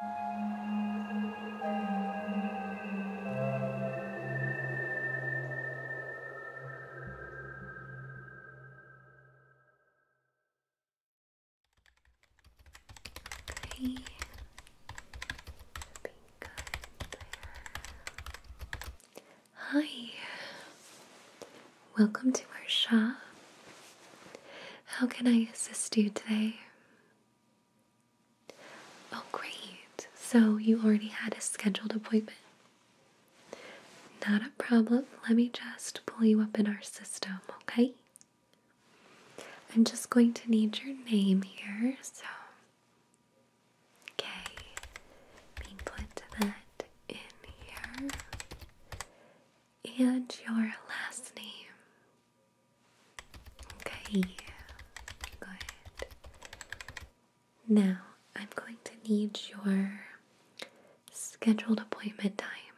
Hi, welcome to our shop. How can I assist you today? Oh, great. So you already had a scheduled appointment. Not a problem. Let me just pull you up in our system, okay? I'm just going to need your name here, so. Okay, let me put that in here. And your last name. Okay, good. Now I'm going to need your scheduled appointment time.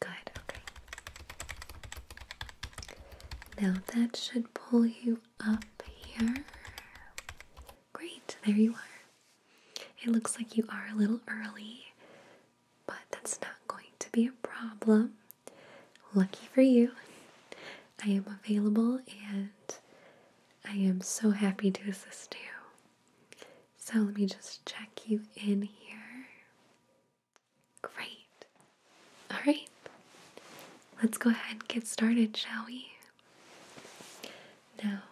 Good, okay. Now that should pull you up here. Great, there you are. It looks like you are a little early, but that's not going to be a problem. Lucky for you, I am available and I am so happy to assist you. So let me just check you in here. Great. All right. Let's go ahead and get started, shall we? Now,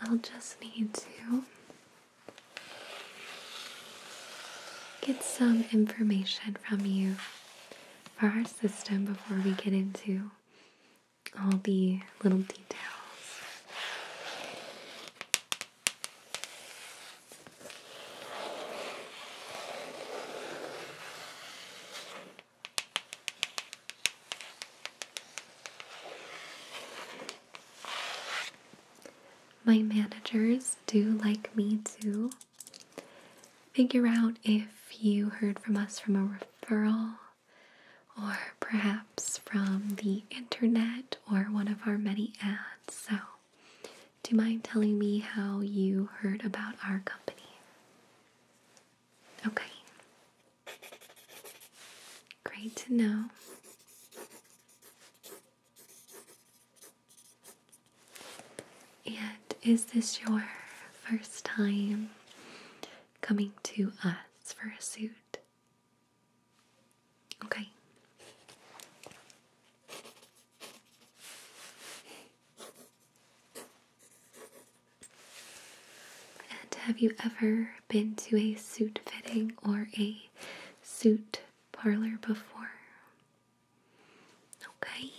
I'll just need to get some information from you for our system before we get into all the little details my managers do like me to figure out if you heard from us from a referral or perhaps from the internet or one of our many ads. So, do you mind telling me how you heard about our company? Okay. Great to know. And is this your first time coming to us for a suit? Okay. And have you ever been to a suit fitting or a suit parlor before? Okay.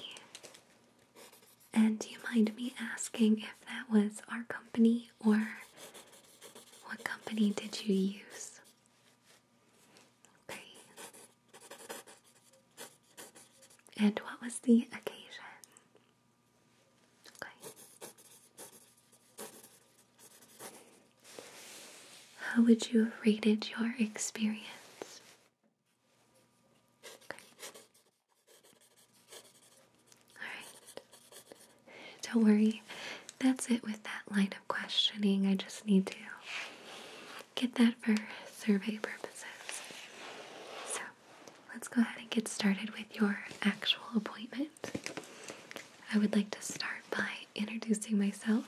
And do you mind me asking if that was our company or what company did you use? Okay. And what was the occasion? Okay. How would you have rated your experience? Alright. Don't worry, that's it with that line of questioning. I just need to get that for survey purposes. So let's go ahead and get started with your actual appointment. I would like to start by introducing myself.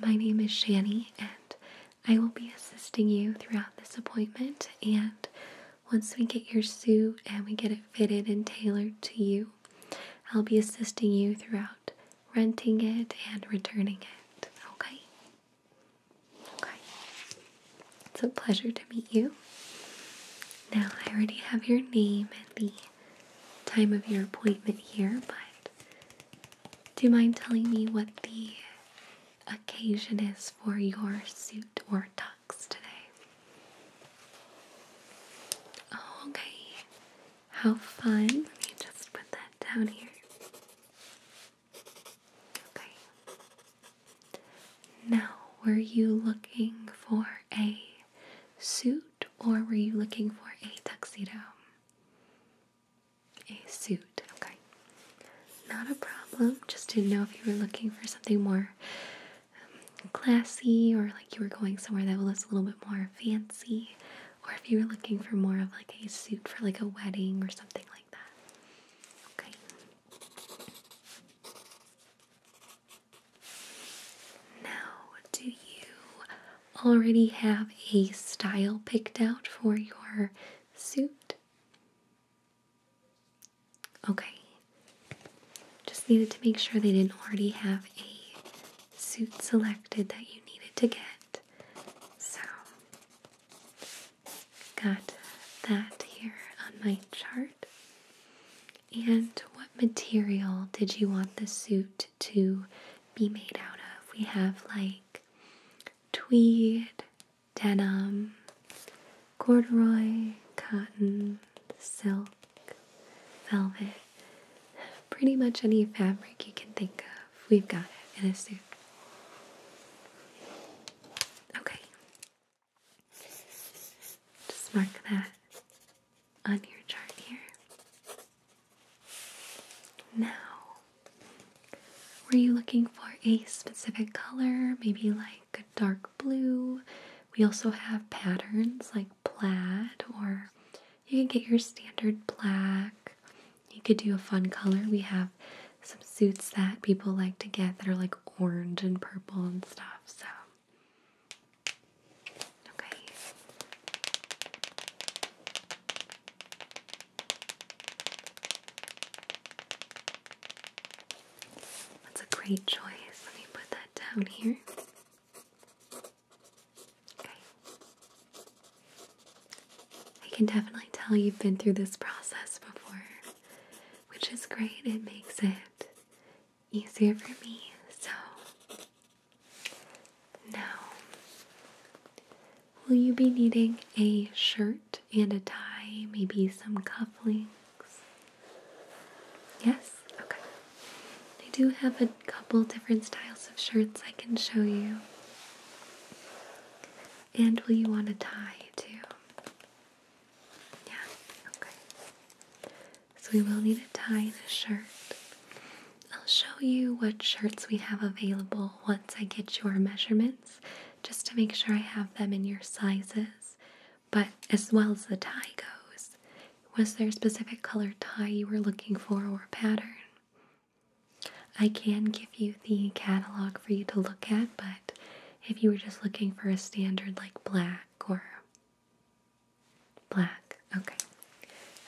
My name is Shani, and I will be assisting you throughout this appointment. And once we get your suit and we get it fitted and tailored to you, I'll be assisting you throughout renting it and returning it. Okay? Okay. It's a pleasure to meet you. Now, I already have your name and the time of your appointment here, but do you mind telling me what the occasion is for your suit or tux today? Oh, okay. How fun. Let me just put that down here. Okay. Now, were you looking for a suit or were you looking for a tuxedo? A suit, okay. Not a problem. Just didn't know if you were looking for something more um, classy or like you were going somewhere that was a little bit more fancy or if you were looking for more of like a suit for like a wedding or something like that. Okay. Now, do you already have a style picked out for your suit? Okay. Just needed to make sure they didn't already have a suit selected that you needed to get. So, got that here on my chart. And what material did you want the suit to be made out of? We have like tweed, denim, corduroy, cotton, silk, velvet, pretty much any fabric you can think of. We've got it in a suit. Okay. Just mark that on your chart here. Now, were you looking for a specific color? Maybe like a dark blue? We also have patterns like plaid, or you can get your standard black. You could do a fun color. We have some suits that people like to get that are like orange and purple and stuff. So Okay. That's a great choice. Let me put that down here. Okay. I can definitely tell you've been through this process before, which is great. It makes it easier for me. So now, will you be needing a shirt and a tie? Maybe some cufflinks? Yes? Okay. They do have a couple different styles of shirts I can show you. And will you want a tie too? Yeah, okay. So we will need a tie and a shirt. I'll show you what shirts we have available once I get your measurements, just to make sure I have them in your sizes, but as well as the tie goes. Was there a specific color tie you were looking for or pattern? I can give you the catalog for you to look at, but if you were just looking for a standard like black or Black, okay.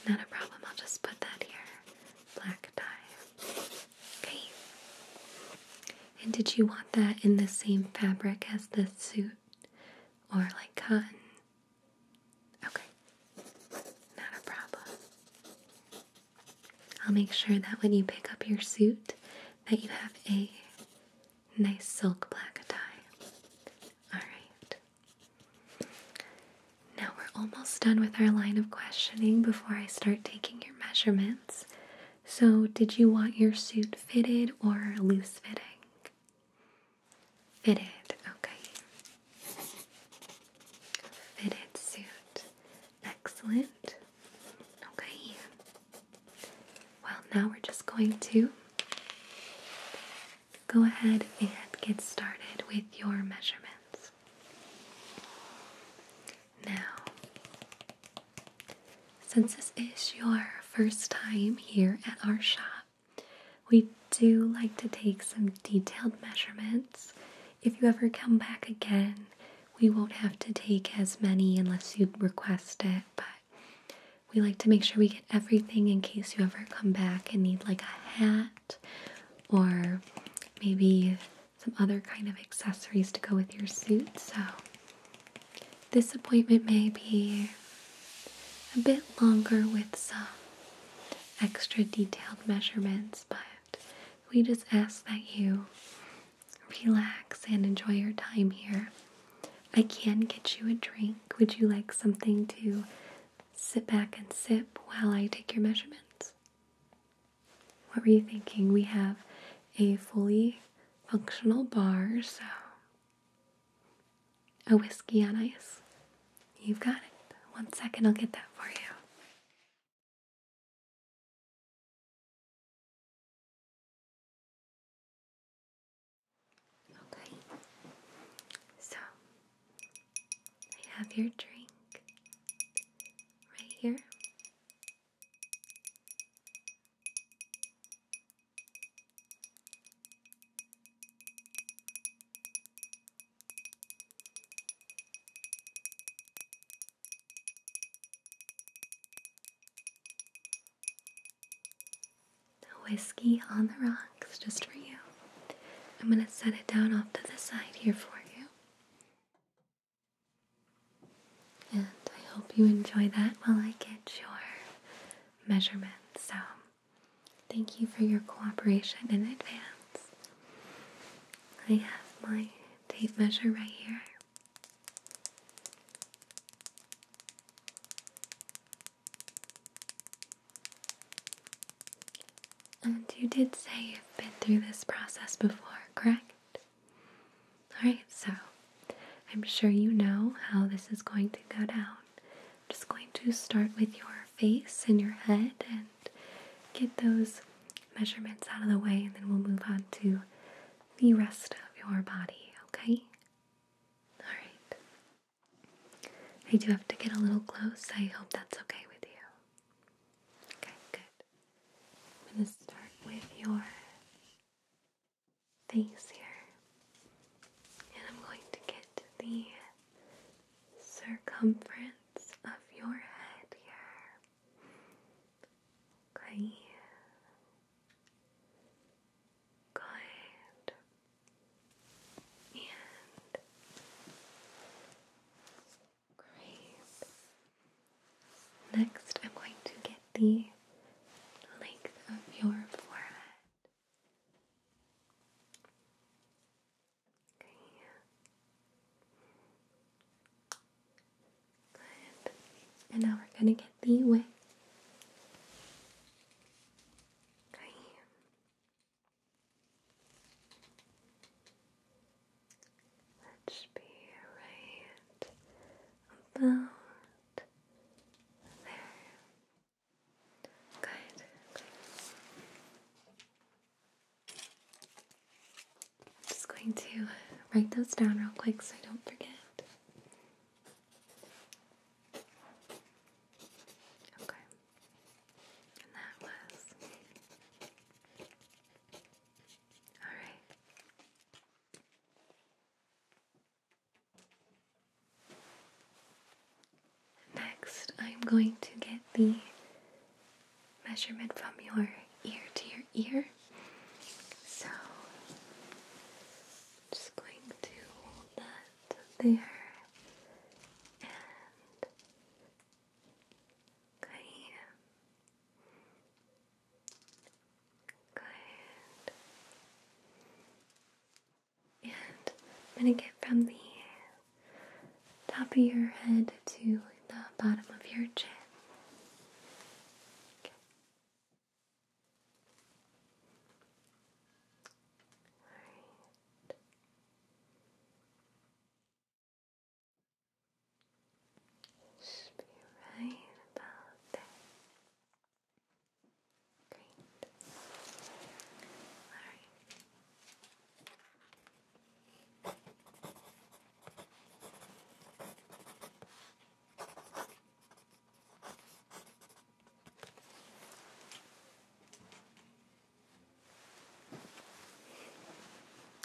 Not a problem, I'll just put that here. Black dye. Okay. And did you want that in the same fabric as the suit? Or like cotton? Okay. Not a problem. I'll make sure that when you pick up your suit that you have a nice silk black tie. All right. Now we're almost done with our line of questioning before I start taking your measurements. So, did you want your suit fitted or loose fitting? Fitted, okay. Fitted suit. Excellent. Okay. Well, now we're just going to go ahead and get started with your measurements. Now, since this is your first time here at our shop, we do like to take some detailed measurements. If you ever come back again, we won't have to take as many unless you request it, but we like to make sure we get everything in case you ever come back and need like a hat or maybe some other kind of accessories to go with your suit. So this appointment may be a bit longer with some extra detailed measurements, but we just ask that you relax and enjoy your time here. I can get you a drink. Would you like something to sit back and sip while I take your measurements? What were you thinking? We have a fully functional bar, so a whiskey on ice. You've got it. One second, I'll get that for you. Okay, so I have your drink right here the whiskey on the rocks just for you. I'm going to set it down off to the side here for you. And I hope you enjoy that while I get your measurements. So, thank you for your cooperation in advance. I have my tape measure right here. And you did say you've been through this process before, correct? Alright, so I'm sure you know how this is going to go down. I'm just going to start with your face and your head and get those measurements out of the way, and then we'll move on to the rest of your body, okay? Alright. I do have to get a little close. I hope that's okay with you. Okay, good. I'm going to start with your face here. And I'm going to get the circumference of your head here. Okay. Good and great. Next, I'm going to get the length of your forehead. Okay. Good. And now we're going to get the width. Okay. Let's be right about there. Good. I'm just going to write those down real quick so I don't forget. Okay. And that was. Alright. Next, I'm going to get the measurement from your ear to your ear. So, just going to hold that there and good Good. And I'm going to get from the top of your head to the bottom of your chin. Alright. Should be right about there. Great. Alright.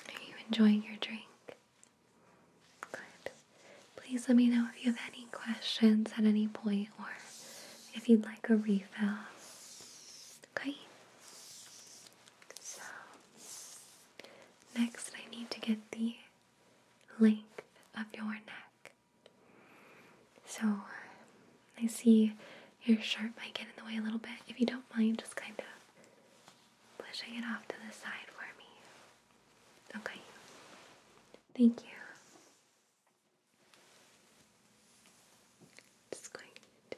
Are you enjoying your drink? Good. Please let me know if you have any questions at any point or if you'd like a refill. Okay? So, next I need to get the length of your neck. So I see your shirt might get in the way a little bit. If you don't mind, just kind of pushing it off to the side for me. Okay. Thank you. Just going to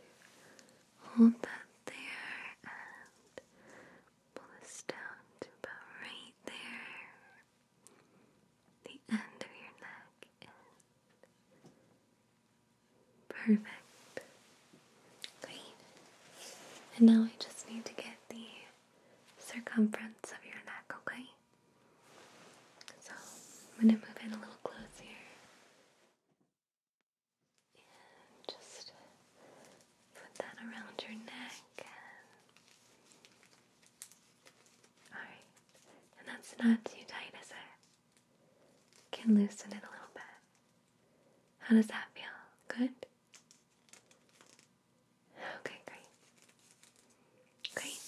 hold that there and pull this down to about right there the end of your neck in. Perfect. Great. And now I just need to get the circumference of your neck, okay? So I'm going to move in a little closer. And just put that around your neck Alright, and that's not too tight, is it? Can loosen it a little bit. How does that feel? Good? Okay, great. Great.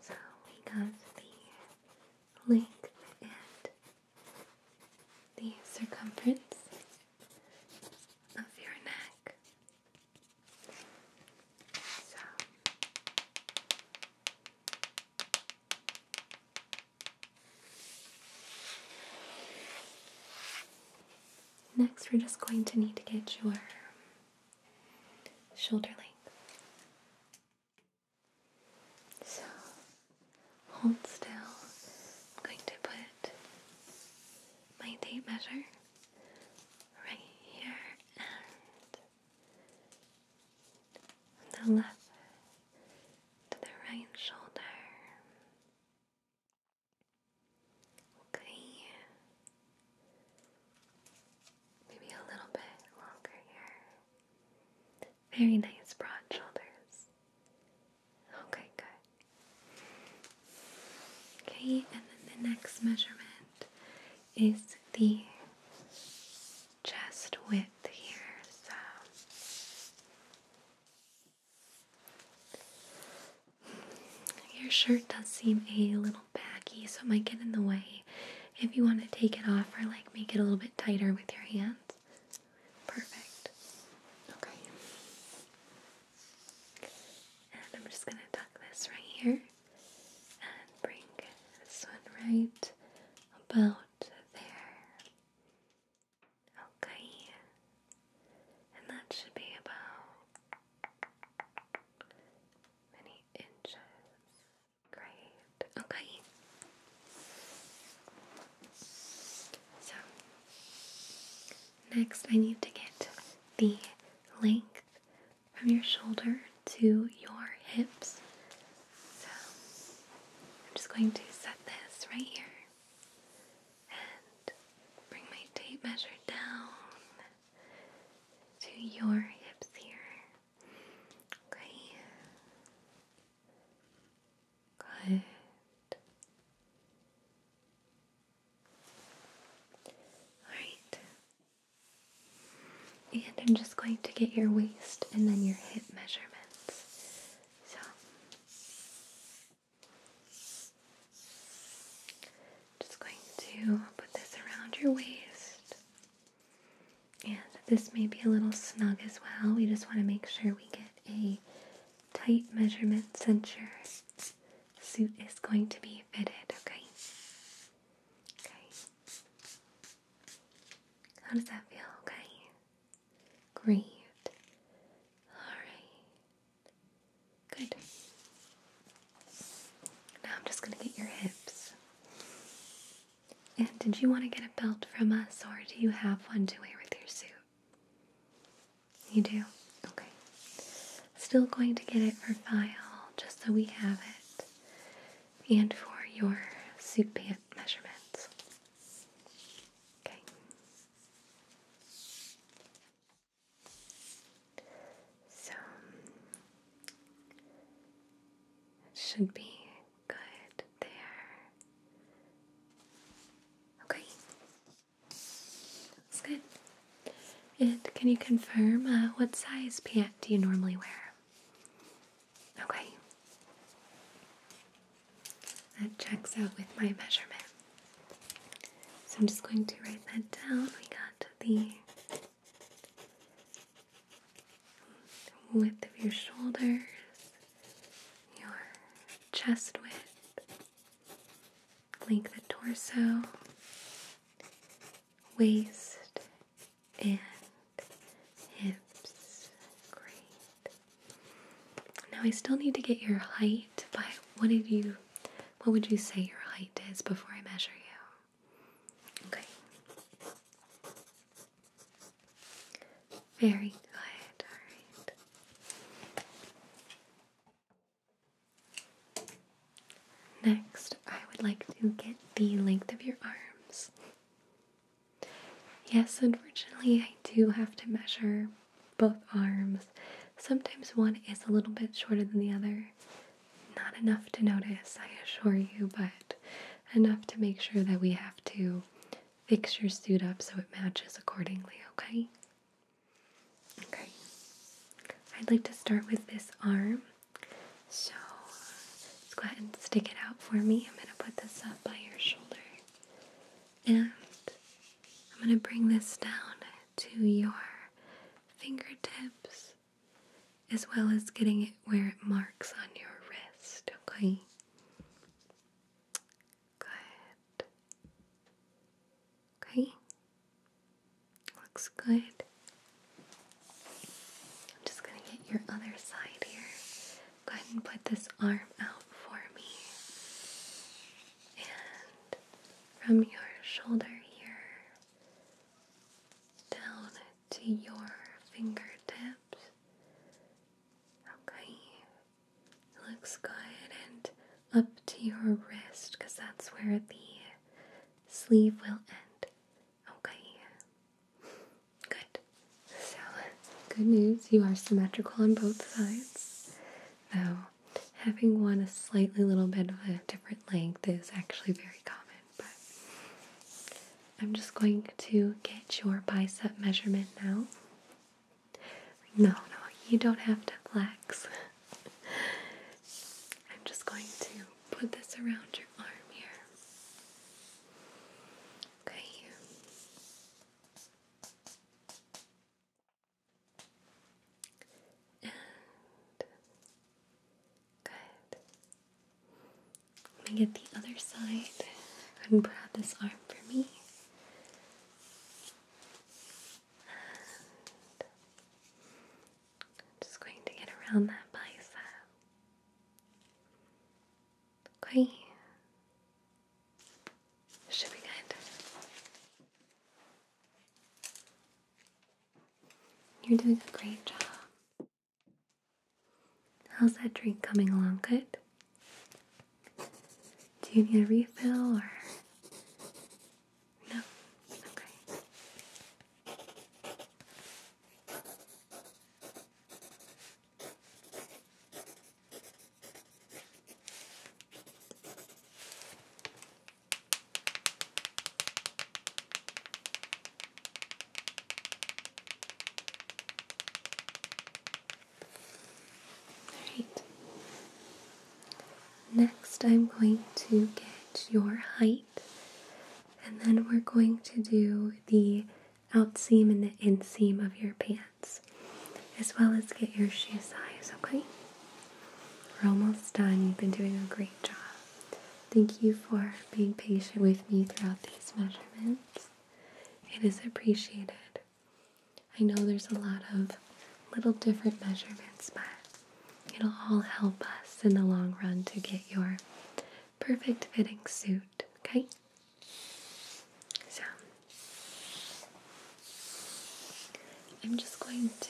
So we got the length and the circumference of your neck. Next, we're just going to need to get your shoulder length. So, Hold still. I'm going to put my tape measure right here and on the left to the right shoulder. Okay. Maybe a little bit longer here. Very nice broad shoulders. Okay, good. Okay, and then the next measurement is the chest width here. So your shirt does seem a little baggy, so it might get in the way. If you want to take it off or like make it a little bit tighter with your hands, Perfect. Okay. And I'm just going to tuck this right here and bring this one right about there. Okay. And that should be about many inches. Great. Okay. So, next I need to get the length from your shoulder to your hips. So, I'm just going to set this right here and bring my tape measure down to your hips here. Okay. Good. Alright. And I'm just going to get your waist and then your hip measurements. So, just going to put this around your waist. And this may be a little snug as well. We just want to make sure we get a tight measurement cincher suit is going to be fitted, okay? Okay. How does that feel? Okay. Great. Alright. Good. Now I'm just going to get your hips. And did you want to get a belt from us or do you have one to wear with your suit? You do? Okay. Still going to get it for file just so we have it and for your suit pant measurements. Okay. So should be good there. Okay. That's good. And can you confirm uh, what size pant do you normally wear? Okay. That checks out with my measurement. So I'm just going to write that down. We got the width of your shoulders your chest width, length of torso, waist, and hips. Great. Now I still need to get your height, but what did you what would you say your height is before I measure you? Okay. Very good, alright. Next, I would like to get the length of your arms. Yes, unfortunately, I do have to measure both arms. Sometimes one is a little bit shorter than the other. Not enough to notice, I assure you, but enough to make sure that we have to fix your suit up so it matches accordingly, okay? Okay, I'd like to start with this arm. So let and stick it out for me. I'm going to put this up by your shoulder. And I'm going to bring this down to your fingertips as well as getting it where it marks on your wrist, okay? Good. Okay. Looks good. I'm just gonna get your other side here. Go ahead and put this arm out for me. And from your shoulder here down to your fingertips. Okay, Looks good. And up to your wrist because that's where the sleeve will end. Okay. Good. So, good news, you are symmetrical on both sides. Though, having one a slightly little bit of a different length is actually very common. But I'm just going to get your bicep measurement now. No, no, you don't have to flex. I'm just going to put this around your arm here. Okay. And good. Let me get the other side and out this arm for me just going to get around that bicep. Okay. Should be good. You're doing a great job. How's that drink coming along? Good? Do you need a refill or no? Okay. Alright. Next, I'm going to get your height, and then we're going to do the outseam and the inseam of your pants, as well as get your shoe size, okay? We're almost done. You've been doing a great job. Thank you for being patient with me throughout these measurements. It is appreciated. I know there's a lot of little different measurements, but it'll all help us in the long run to get your perfect fitting suit, okay? So, I'm just going to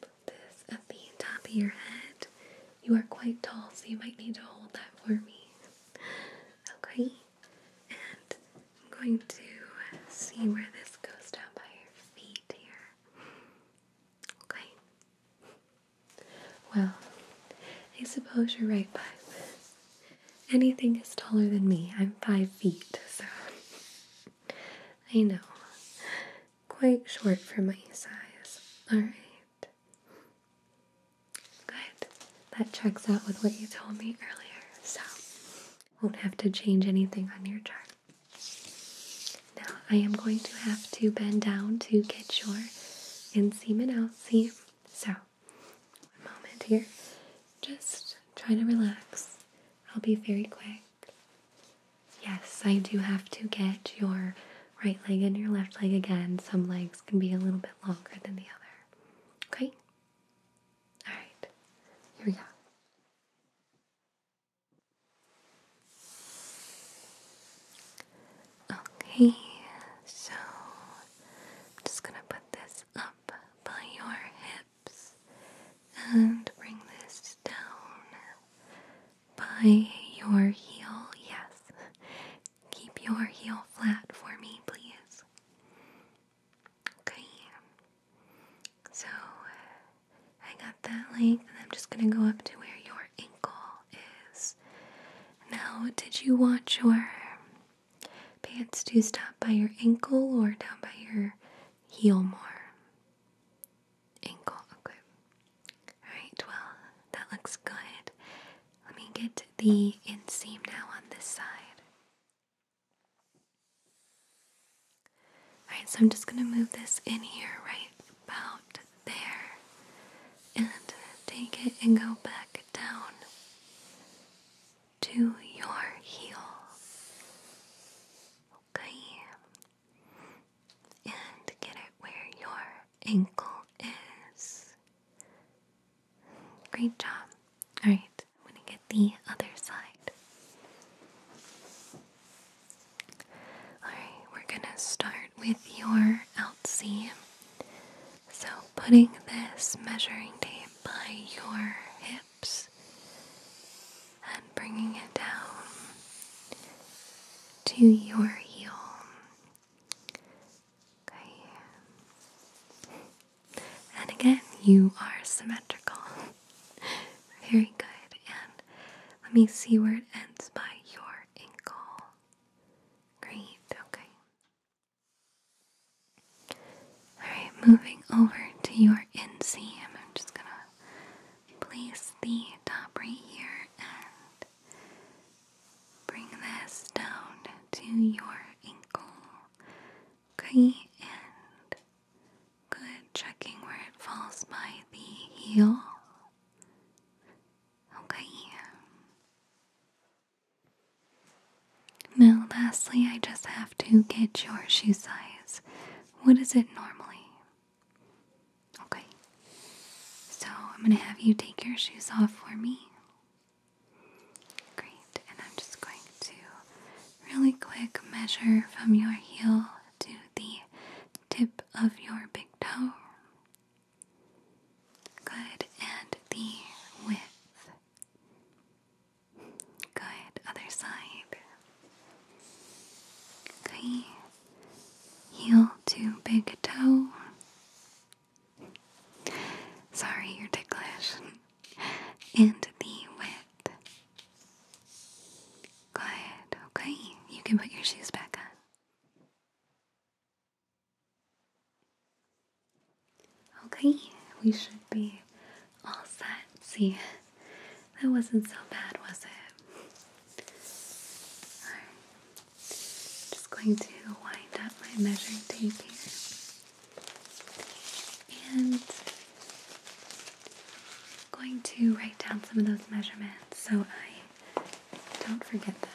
put this at the top of your head. You are quite tall, so you might need to hold that for me. Okay. I'm going to see where this goes down by your feet here. Okay. Well, I suppose you're right, but anything is taller than me. I'm five feet, so I know. Quite short for my size. Alright. Good. That checks out with what you told me earlier, so won't have to change anything on your chart. Now I am going to have to bend down to get your inseam See, outseam. So, one moment here. Just try to relax. I'll be very quick. Yes, I do have to get your right leg and your left leg again. Some legs can be a little bit longer than the other. Okay? All right, here we go. Okay, so I'm just going to put this up by your hips and bring this down by your heel. Yes, keep your heel flat for me, please. Okay. So I got that length, and I'm just gonna go up to where your ankle is. Now, did you want your pants to stop by your ankle or down by your heel more? Ankle, okay. Alright, well, that looks good. Let me get the inseam now on this side. Alright, so I'm just going to move this in here right about there and take it and go back down to your heel. Okay. And get it where your ankle is. Great job. Alright, I'm going to get the other side. Alright, we're going to start with your out seam. So, putting this measuring tape by your hips and bringing it down to your heel. Go And again, you are symmetrical. Very good. And let me see where it ends by your ankle. Great, okay. Alright, moving over to your inseam. I'm just gonna place the top right here and bring this down to your ankle. Okay, and good. Checking where it falls by the heel. Okay. Now, lastly, I just have to get your shoe size. What is it normally? Okay. So, I'm going to have you take your shoes off for me. Great, and I'm just going to really quick measure from your heel to the tip of your big toe. Good, and the width. Good, other side. Okay, heel to big toe. Sorry, you're ticklish. And the wet. Good, okay. You can put your shoes back on. Okay, we should be all set. See, that wasn't so bad, was it? Alright, just going to wind up my measuring tape here. And I'm going to write down some of those measurements so I don't forget them.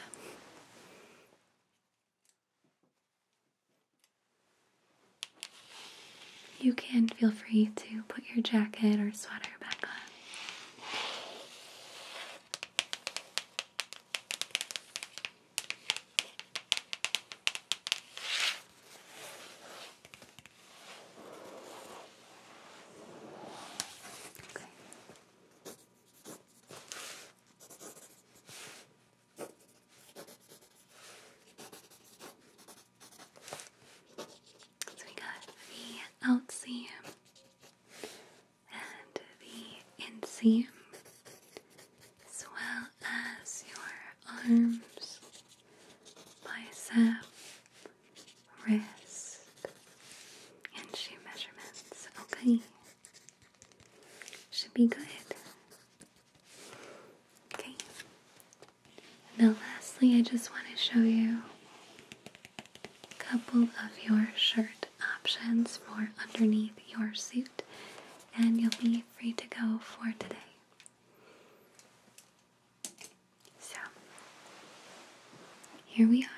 You can feel free to put your jacket or sweater back on. Okay. So we got the outseam and the inseam as well as your arms, bicep, wrist, and shoe measurements. Okay, should be good. Okay, now lastly, I just want to show you a couple of your shirt options for underneath your suit, and you'll be free to go for today. So, here we are.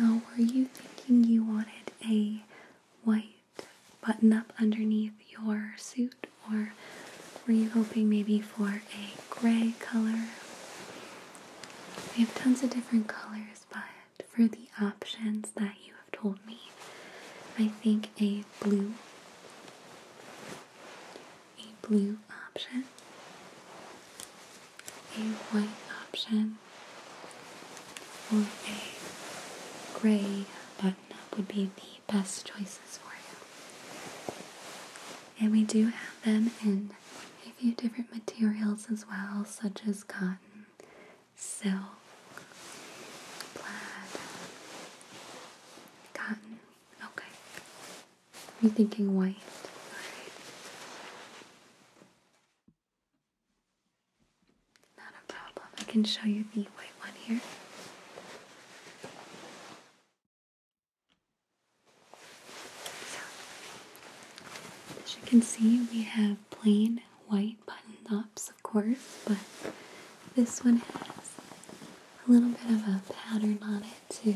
Now, were you thinking you wanted a white button up underneath your suit, or were you hoping maybe for a gray color? We have tons of different colors, but for the options that you have told me, I think a blue, a blue option, a white option, or a gray button would be the best choices for you. And we do have them in a few different materials as well, such as cotton, silk, plaid, cotton. Okay. You're thinking white. Not a problem. I can show you the white one here. as you can see, we have plain white button ups, of course, but this one has a little bit of a pattern on it to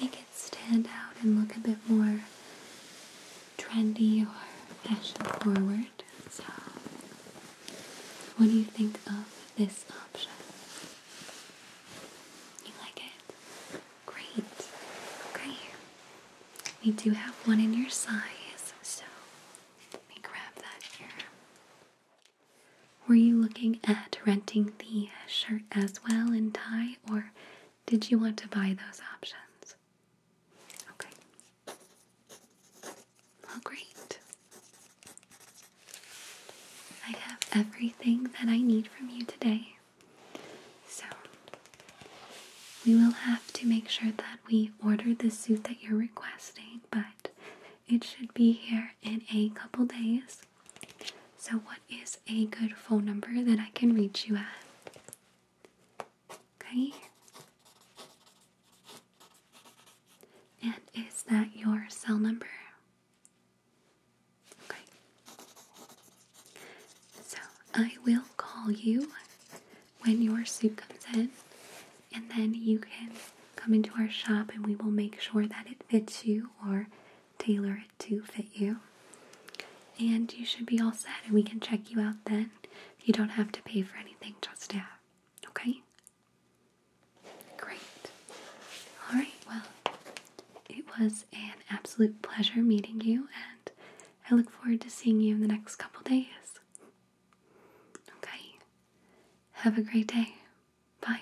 make it stand out and look a bit more trendy or fashion forward. So, uh, what do you think of this option? You like it? Great. Okay. We do have one in your size, so let me grab that here. Were you looking at renting the shirt as well in tie, or did you want to buy those options? Okay. Well, great. I have everything that I need from you today. So, we will have to make sure that we order the suit that you're requesting, but it should be here in a couple days. So, what is a good phone number that I can reach you at? Okay? And is that your cell number? Okay. So I will call you when your suit comes in, and then you can come into our shop and we will make sure that it fits you or tailor it to fit you. And you should be all set, and we can check you out then. You don't have to pay for anything just yet. Okay? Great. All right, well, it was an absolute pleasure meeting you, and I look forward to seeing you in the next couple days. Okay? Have a great day. Bye.